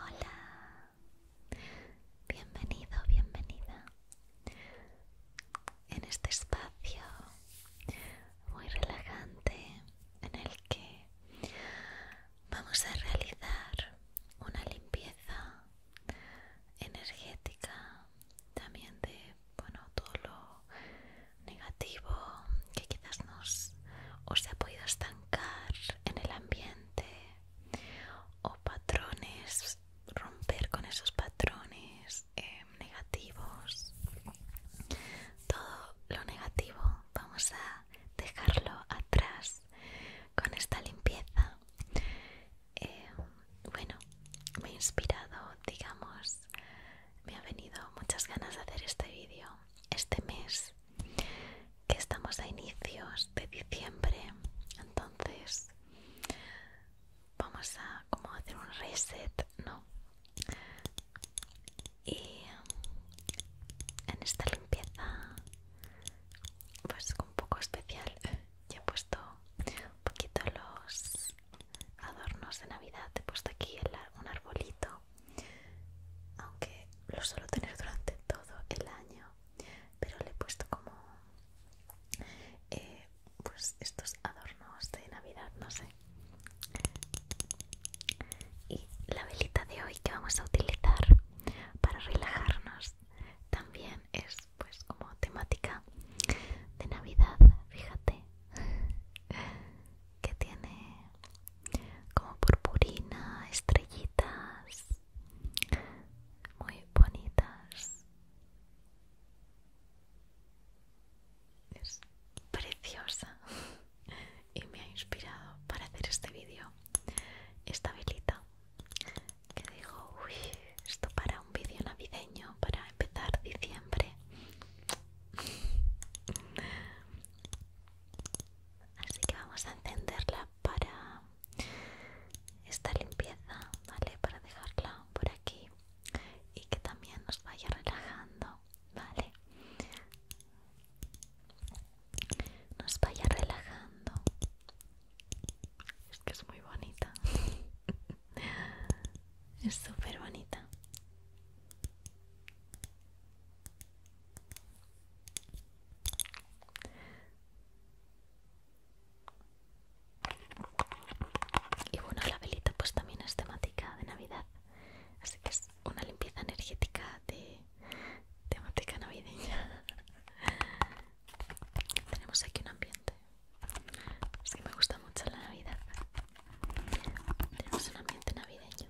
Hola, bienvenido, bienvenida. En este espacio muy relajante en el que vamos a realizar una limpieza energética, también de bueno, todo lo negativo que quizás nos se ha podido estancar en el ambiente o patrones, romper con esos patrones em, negativos. Todo lo negativo vamos a dejarlo atrás con esta limpieza. Em, bueno, me ha inspirado, digamos, me ha venido muchas ganas de hacer este vídeo este mes que estamos a inicios de diciembre, entonces vamos a como hacer un reset, ¿no? Y en esta limpieza, pues un poco especial, ya he puesto un poquito los adornos de Navidad. he puesto aquí un arbolito, aunque lo suelo tener durante todo el año, pero le he puesto como eh, pues estos adornos de Navidad, no sé. Y la velita de hoy que vamos a utilizar para relajarnos también es pues como temática de Navidad, fíjate. que tiene como purpurina, estrellitas muy bonitas. Es preciosa y me ha inspirado para hacer este vídeo esta velita que digo, uy, esto para un vídeo navideño para empezar diciembre. Así que vamos a encenderla para esta limpieza, ¿vale? Para dejarla por aquí y que también nos vaya relajando, ¿vale? Nos vaya relajando. Es que es muy bonita. es súper bonita y bueno la velita pues también es temática de navidad así que es una limpieza energética de temática navideña tenemos aquí un ambiente es que me gusta mucho la Navidad. Tenemos un ambiente navideño.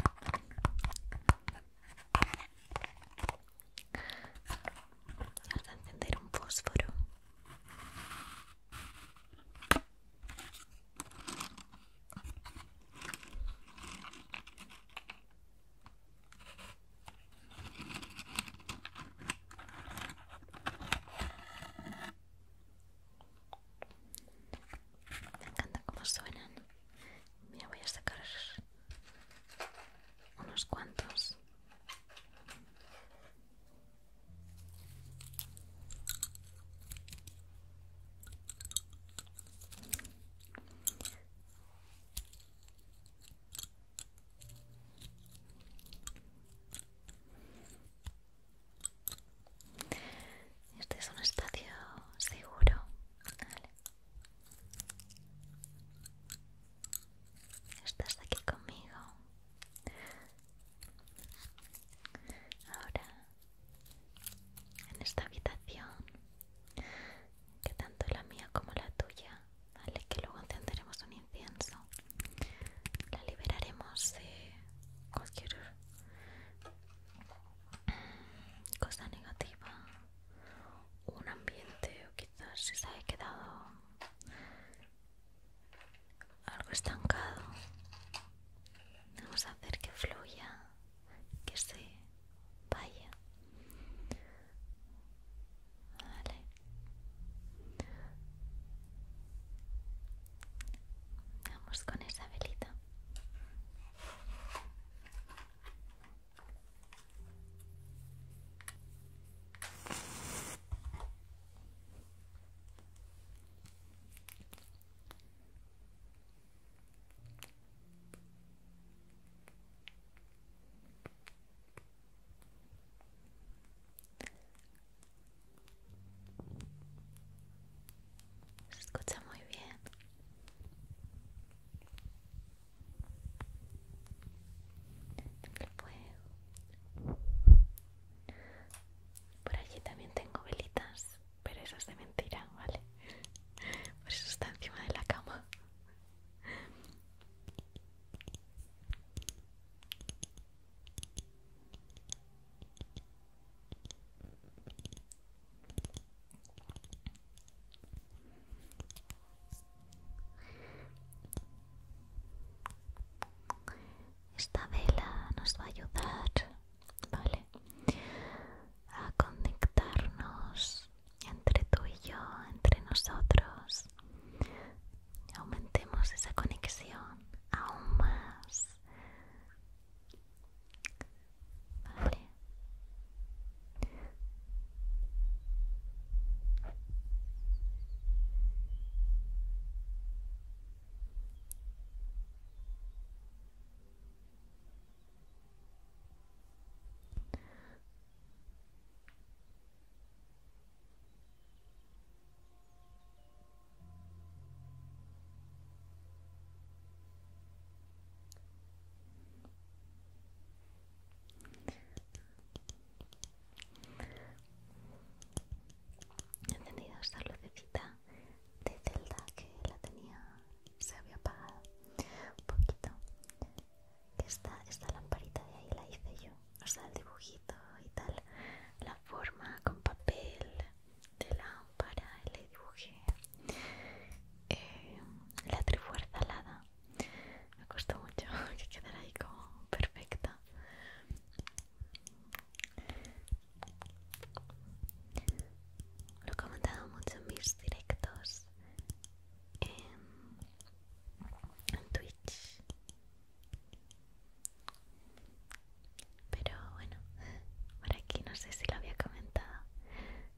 a encender un fósforo. Me encanta cómo suenan. Mira, voy a sacar unos cuantos. Este es un espacio seguro. Estás aquí conmigo. Ahora, en esta habitación, que tanto la mía como la tuya, ¿vale? Que luego encenderemos un incienso la liberaremos de cualquier cosa negativa un ambiente o quizás si se haya quedado algo estancado vamos a hacer que fluya que se vaya Vale. Vamos con esa velita. Se escucha muy bien. Por allí también tengo velitas, pero esas de mentira, ¿vale? Por eso está encima de la cama. Esta vela nos va a ayudar, ¿vale? A conectarnos entre tú y yo, entre nosotros, aumentemos esa conexión aún más. He encendido esta lucecita de celda que la tenía, se había apagado un poquito esta, esta lamparita de ahí la hice yo, o sea, el dibujito y tal, la forma con papel de lámpara, y le dibujé eh, la trifuerza alada, me costó mucho que quedara ahí como perfecta. Lo he comentado mucho en mis directos en Twitch pero bueno, por aquí no sé si lo había comentado,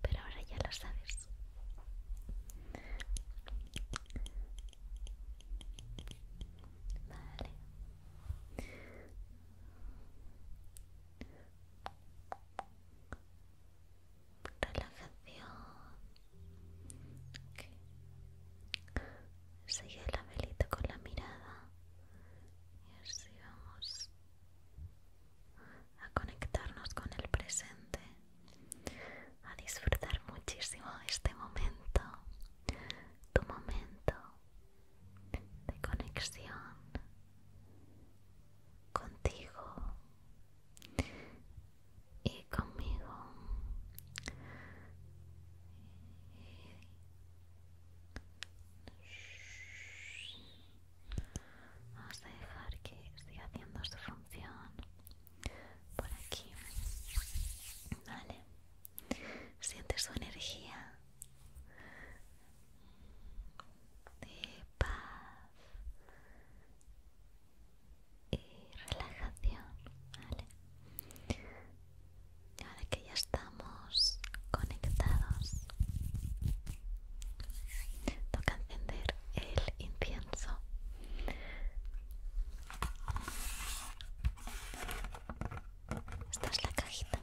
pero ahora ya lo sabes. Vale. Relajación Sigue la velita con la mirada y así vamos a conectarnos con el presente, a disfrutar muchísimo este momento, tu momento de conexión contigo y conmigo vamos a dejar que siga haciendo su función por aquí vale siente su energía de paz y relajación, ¿vale? Ahora que ya estamos conectados, toca encender el incienso. Esta es la cajita.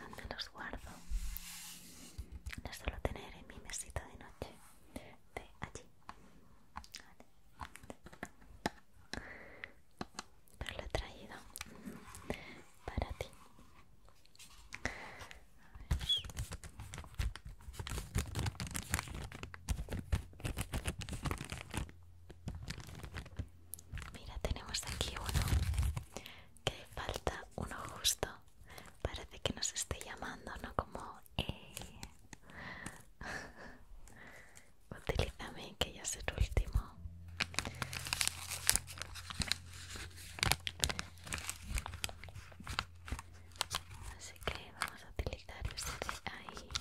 ¿Dónde los guardo? Los suelo tener en mi mesita de noche. De allí. Pero lo he traído para ti. Mira, tenemos aquí uno que falta uno justo. Parece que nos esté llamando, ¿no? Como, eh. Utilízame, que ya es el último. Así que vamos a utilizar este ahí.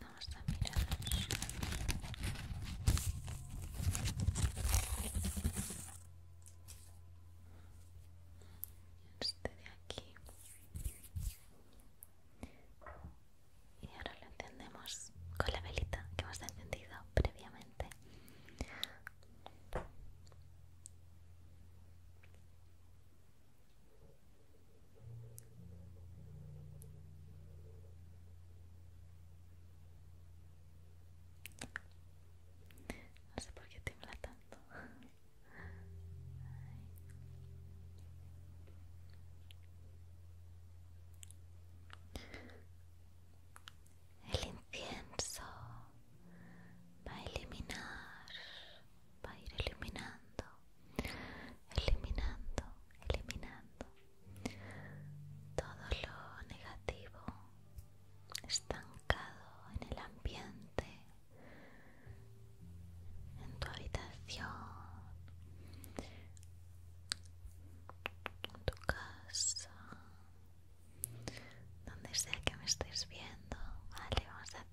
Vamos a mirar. Este de aquí. Y ahora lo encendemos con la velita que hemos encendido previamente. No sé por qué tiembla tanto. El incienso va a eliminar va a ir eliminando, eliminando, eliminando todo lo negativo estancado en el ambiente, en tu habitación, en tu casa, donde sea que me estés viendo, vale, vamos a hacer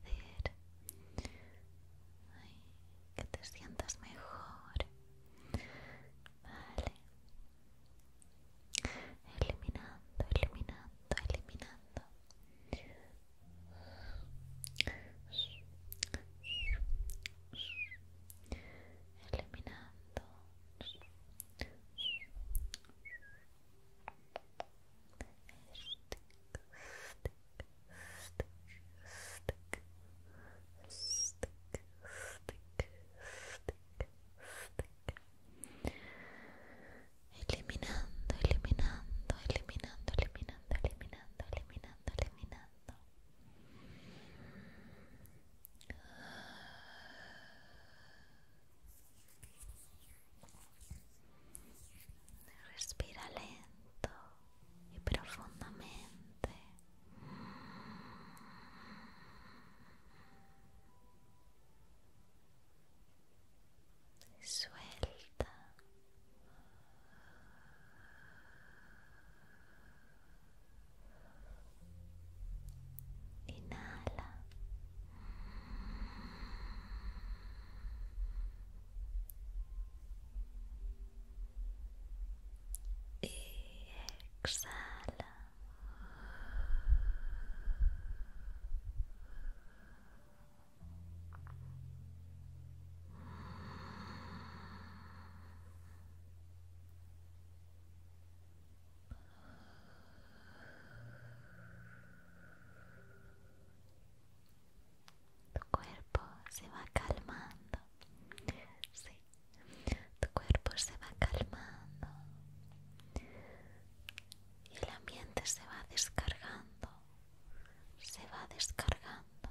que te sientas mejor. Vale. eliminando, eliminando. Eliminando. Eliminando eliminando, eliminando, eliminando, eliminando, eliminando, eliminando, eliminando. Respira lento y profundamente. Suelta. Inhala exhala. Tu cuerpo se va calmando. Sí. Tu cuerpo se va calmando. Y el ambiente se va descargando. Se va descargando.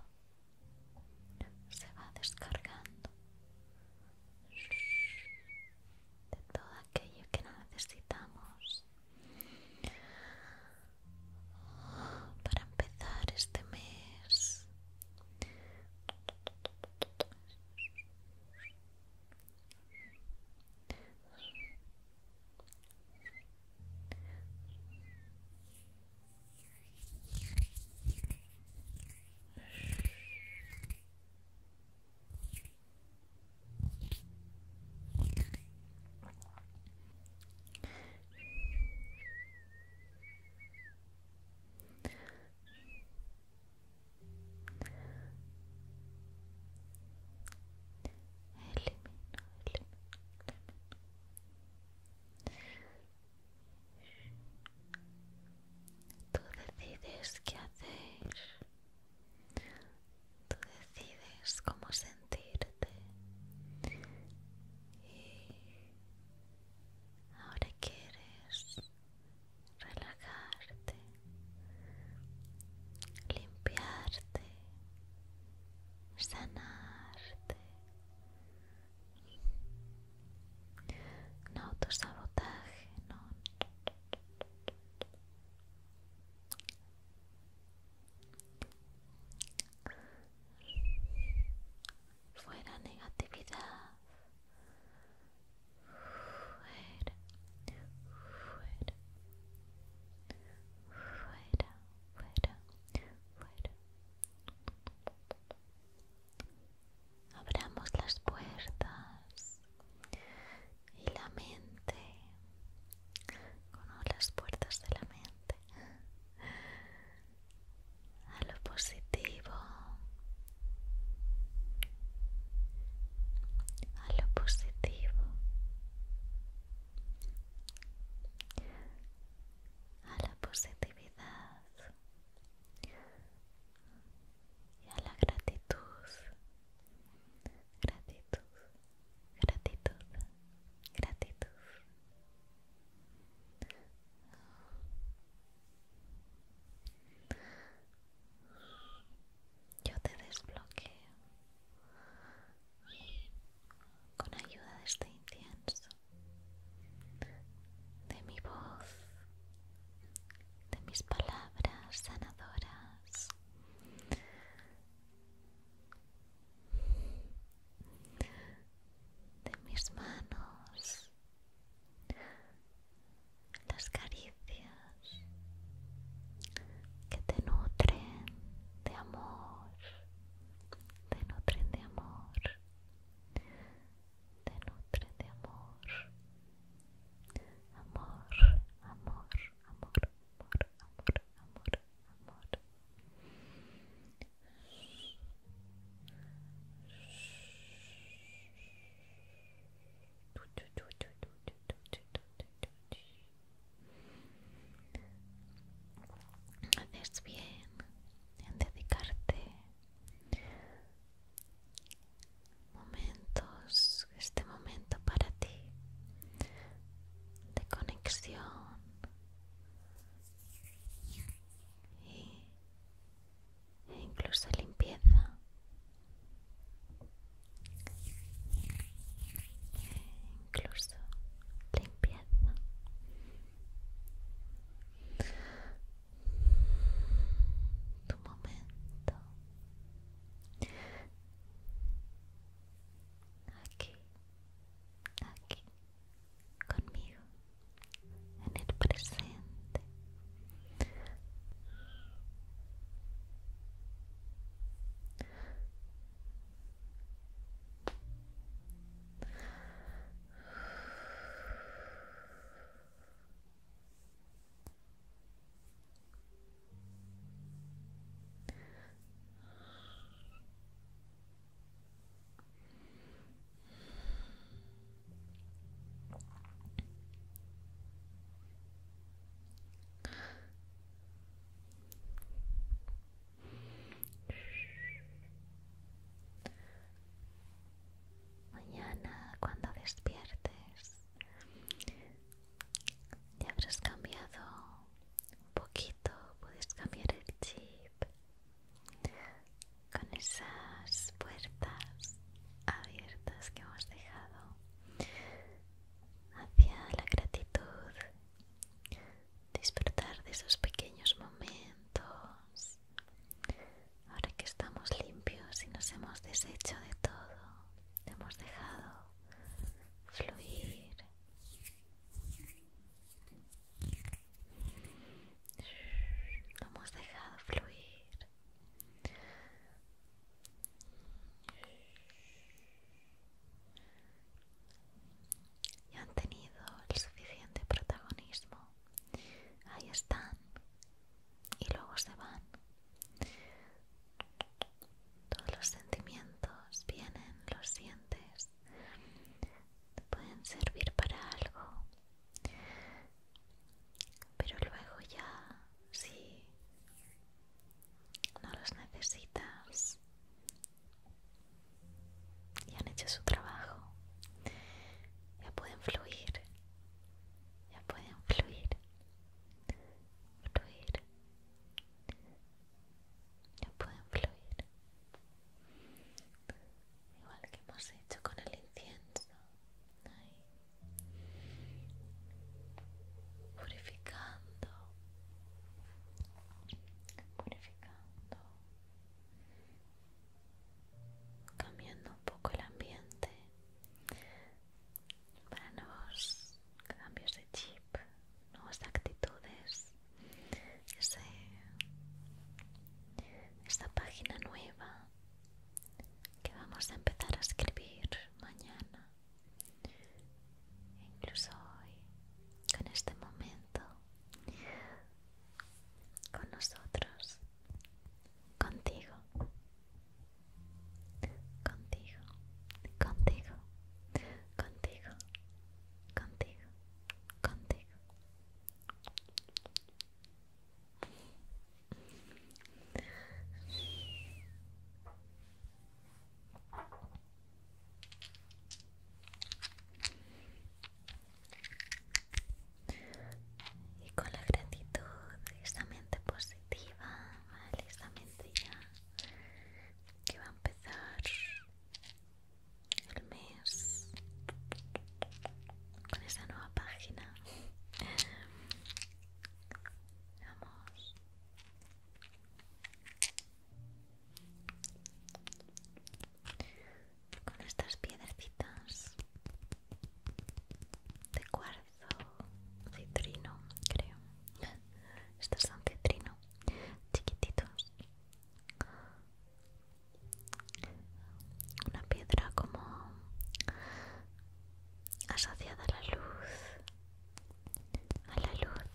Se va descargando. De todo aquello que no necesitamos para empezar este mes Elimina, elimina, elimina. ¿Tú decides qué haces? Tú decides cómo sentirte. Y ahora quieres relajarte, limpiarte, sanarte. No autosabotaje, no fuera negatividad fuera fuera fuera fuera fuera abramos las puertas y la mente con las puertas de la mente a lo positivo a lo positivo a la positividad y a la gratitud, gratitud, gratitud, gratitud. Yo te desbloqueo con ayuda de este incienso, de mi voz, de mis palabras sanadoras, de mis manos, las caricias que te nutren de amor, te nutren de amor, te nutren de amor amor, amor, amor, amor, amor, amor, amor. bien en dedicarte momentos, este momento para ti de conexión e incluso limpieza. incluso limpieza. Tu momento Aquí, aquí, conmigo, en el presente. Mañana cuando despiertes ya habrás cambiado un poquito, puedes cambiar el chip con esas puertas abiertas que hemos dejado hacia la gratitud, disfrutar de esos pequeños momentos Ahora que estamos limpios y nos hemos deshecho de todo, hemos dejado fluir. hemos dejado fluir. Y han tenido el suficiente protagonismo. Ahí están. Y luego se van. Todos los sentimientos vienen, los sientes, te pueden servir para algo, pero luego ya si no los necesitas y han hecho su trabajo, ya pueden fluir, ya pueden fluir fluir ya pueden fluir igual que hemos hecho con el incienso purificando purificando cambiando un poco el ambiente para nuevos cambios de chip, nuevas actitudes. Ese, esta página nueva que vamos a empezar a escribir mañana, incluso hoy, con este momento, con nosotros, contigo contigo, contigo, contigo, contigo, contigo y con la gratitud, esta mente positiva, ¿vale? esta que va a empezar el mes con esta nueva página. Vamos. Con estas piedrecitas de cuarzo citrino, creo. Estos son citrino, chiquititos. Una piedra como asociada a la luz, a la luz.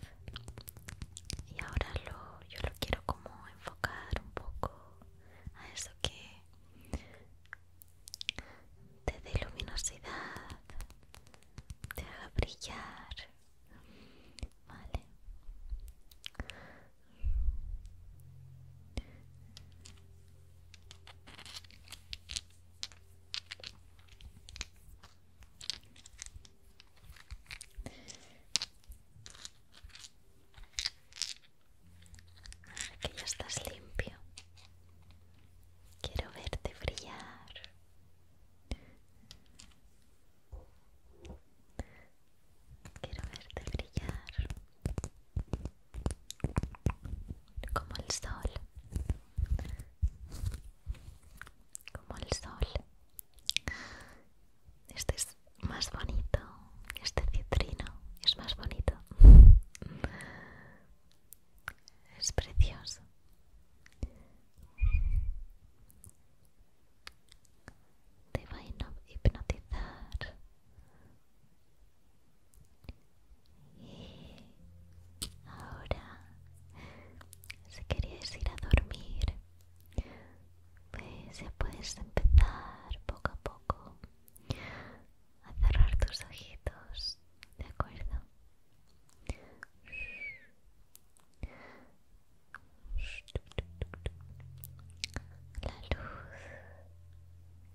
Y ahora lo, yo lo quiero como enfocar un poco a eso que te luminosidad, te haga brillar, ¿vale? que ya estás limpio. Quiero verte brillar. Quiero verte brillar como el sol. Como el sol. Este es más bonito este citrino es más bonito. Es precioso. Te va a hipnotizar. Y ahora, si queréis ir a dormir, pues ya puedes empezar poco a poco a cerrar tus ojitos, ¿de acuerdo? La luz,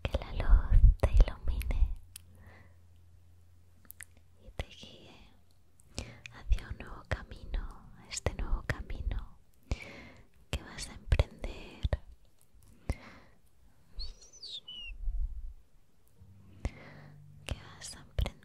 que la luz te ilumine y te guíe hacia un nuevo camino, este nuevo camino que vas a emprender ¿Qué vas a aprender?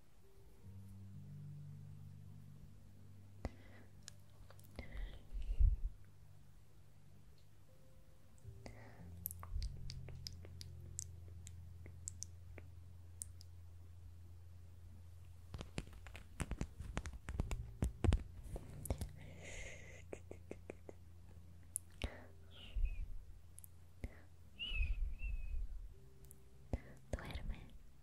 Duerme.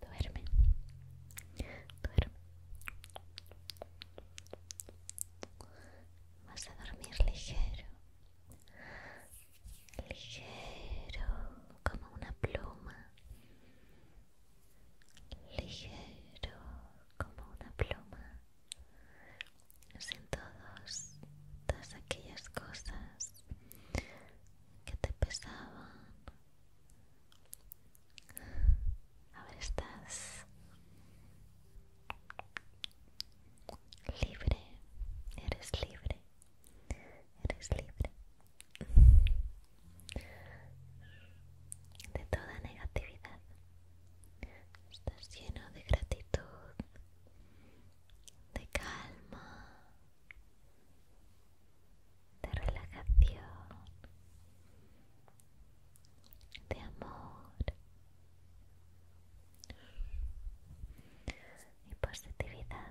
Duerme, duerme. Vas a dormir ligero, ligero como una pluma ligero como una pluma sin todos, todas aquellas cosas que te pesaban ver, estás libre eres libre eres libre de toda negatividad. Estás lleno de gratitud, de calma, de relajación, de amor y positividad.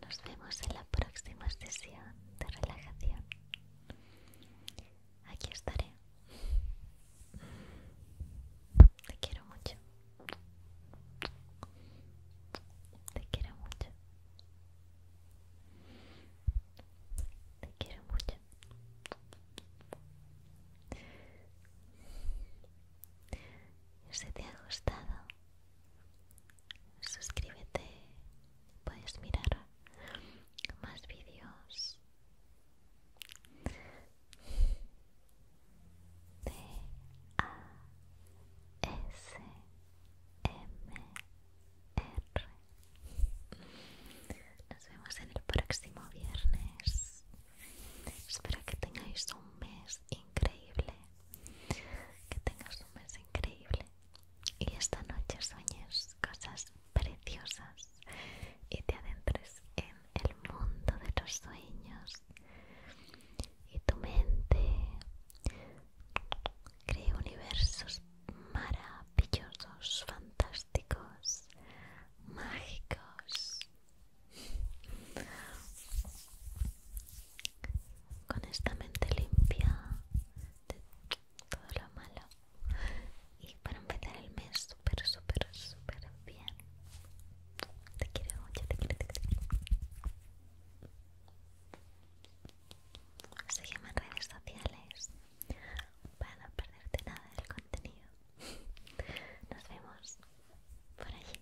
Nos vemos en la próxima sesión de relajación. Aquí estaré. Te quiero mucho. Te quiero mucho. Te quiero mucho. Si te ha gustado, suscríbete, puedes mirar más vídeos de R Nos vemos en el próximo viernes. Espero que tengáis un mes increíble que tengas un mes increíble y esta noche sueñes cosas preciosas y te adentres en el mundo de los sueños y tu mente cree universos maravillosos, fantásticos, mágicos con esta mente limpia de todo lo malo y para empezar el mes super súper, súper bien. Te quiero mucho, te quiero, te quiero. en redes sociales para no perderte nada del contenido. Nos vemos por allí.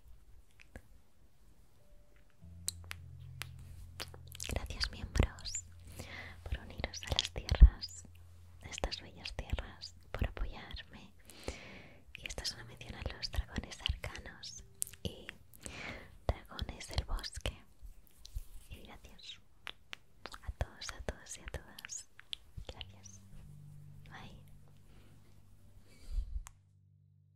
Gracias miembros por uniros a las tierras, a estas bellas tierras, por apoyarme. Y esta mención a los dragones arcanos y dragones del bosque. Y gracias a todos, a todas y a todas. Gracias. Bye.